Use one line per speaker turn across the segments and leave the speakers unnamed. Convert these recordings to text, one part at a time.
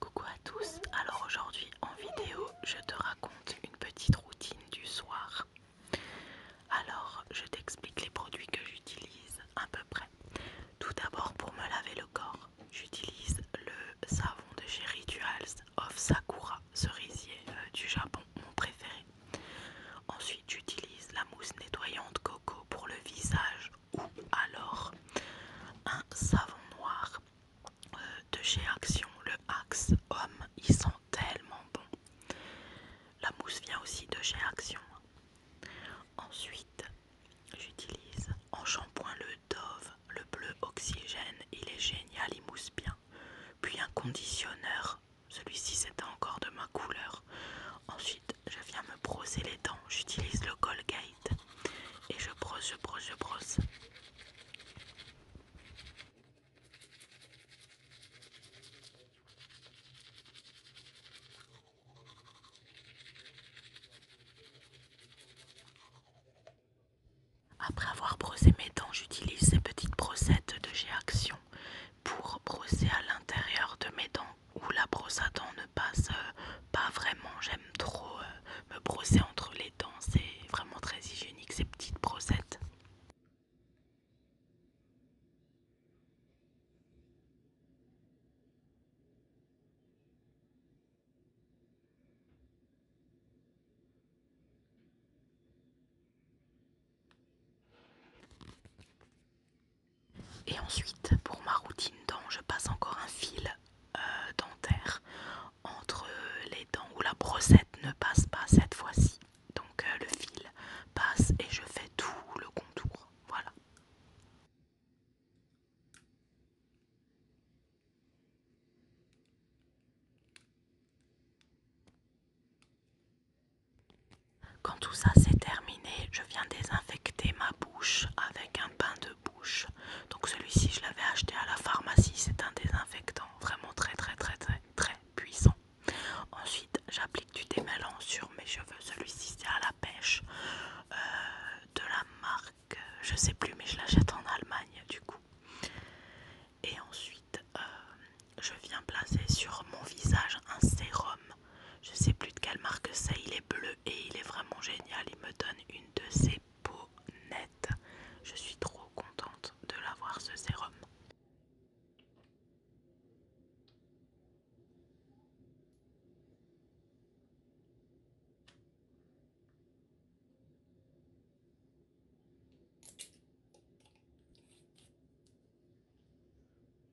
Coucou à tous, alors aujourd'hui en vidéo je te raconte une petite routine du soir. Alors je t'explique les produits que j'utilise à peu près. Tout d'abord pour me laver le corps, j'utilise le savon de chez Rituals of Sakura, cerisier euh, du Japon, mon préféré. Ensuite j'utilise la mousse nettoyante Coco pour le visage ou alors un savon noir euh, de chez Action, le Axe Homme, il sent tellement bon. La mousse vient aussi de chez Action. Ensuite, j'utilise en shampoing le Dove, le bleu oxygène, il est génial, il mousse bien. Puis un conditionneur, celui-ci c'est encore de ma couleur. Ensuite, je viens me brosser les dents, j'utilise le Colgate et je brosse, je brosse, je brosse. Après avoir brossé mes dents, j'utilise ces petites brossettes de g Action pour brosser à l'intérieur de mes dents où la brosse à dents ne passe euh, pas vraiment. J'aime trop euh, me brosser entre les dents. C'est vraiment très hygiénique ces petites brossettes. Et ensuite, pour ma routine dents, je passe encore un fil euh, dentaire entre les dents où la brossette ne passe pas cette fois-ci. Donc euh, le fil passe et je fais tout le contour. Voilà. Quand tout ça c'est terminé, je viens désinfecter ma bouche avec un pain de bouche. Donc celui-ci je l'avais acheté à la pharmacie, c'est un désinfectant vraiment très très très très très puissant. Ensuite j'applique du démêlant sur mes cheveux, celui-ci c'est à la pêche euh, de la marque, euh, je sais plus mais je l'achète en Allemagne du coup. Et ensuite euh, je viens placer sur mon visage un sérum. Je sais plus de quelle marque c'est, il est bleu et il est vraiment génial. Il me donne une de ses peaux nettes. Je suis trop contente de l'avoir ce sérum.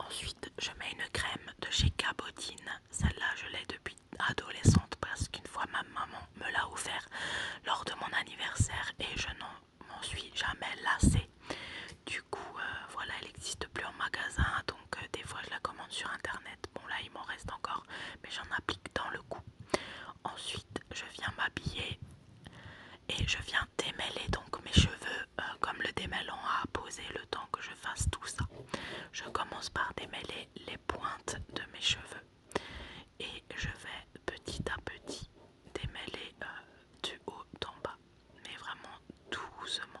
Ensuite, je mets une crème de chez Cabotine. Celle-là, je l'ai depuis adolescente parce qu'une fois ma maman me l'a offert lors de mon anniversaire et je n'en m'en suis jamais lassée. Du coup, euh, voilà, elle n'existe plus en magasin, donc euh, des fois je la commande sur internet. Bon là, il m'en reste encore, mais j'en applique dans le coup. Ensuite, je viens m'habiller et je viens démêler donc mes cheveux euh, comme le démêlant à poser le temps que je fasse tout ça. Je commence par démêler les pointes de mes cheveux et je vais petit à petit démêler euh, du haut en bas mais vraiment doucement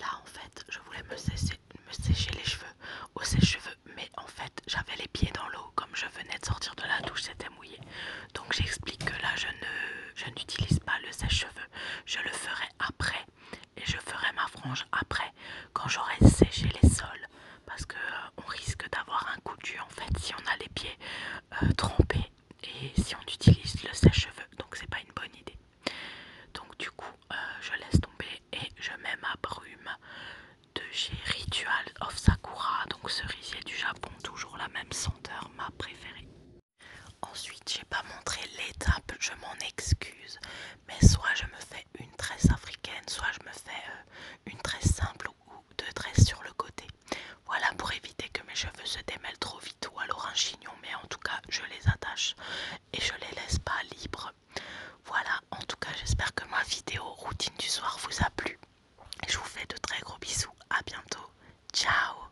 Là en fait je voulais me sécher, les cheveux au sèche-cheveux mais en fait j'avais les pieds dans l'eau comme je venais de sortir de la douche c'était mouillé donc j'explique que là je ne je n'utilise pas le sèche-cheveux je le ferai après et je ferai ma frange après quand j'aurai séché les sols parce qu'on euh, risque d'avoir un coup dur en fait si on a les pieds euh, trempés et si on utilise le sèche-cheveux donc c'est pas une bonne idée donc du coup euh, je laisse tomber et je mets ma brume de chez Ritual of Sakura donc cerisier du Japon toujours la même senteur ma préférée Ensuite, j'ai pas montré l'étape, je m'en excuse, mais soit je me fais une tresse africaine, soit je me fais euh, une tresse simple ou deux tresses sur le côté. Voilà pour éviter que mes cheveux se démêlent trop vite ou alors un chignon, mais en tout cas, je les attache et je les laisse pas libres. Voilà, en tout cas, j'espère que ma vidéo routine du soir vous a plu. Je vous fais de très gros bisous, à bientôt, ciao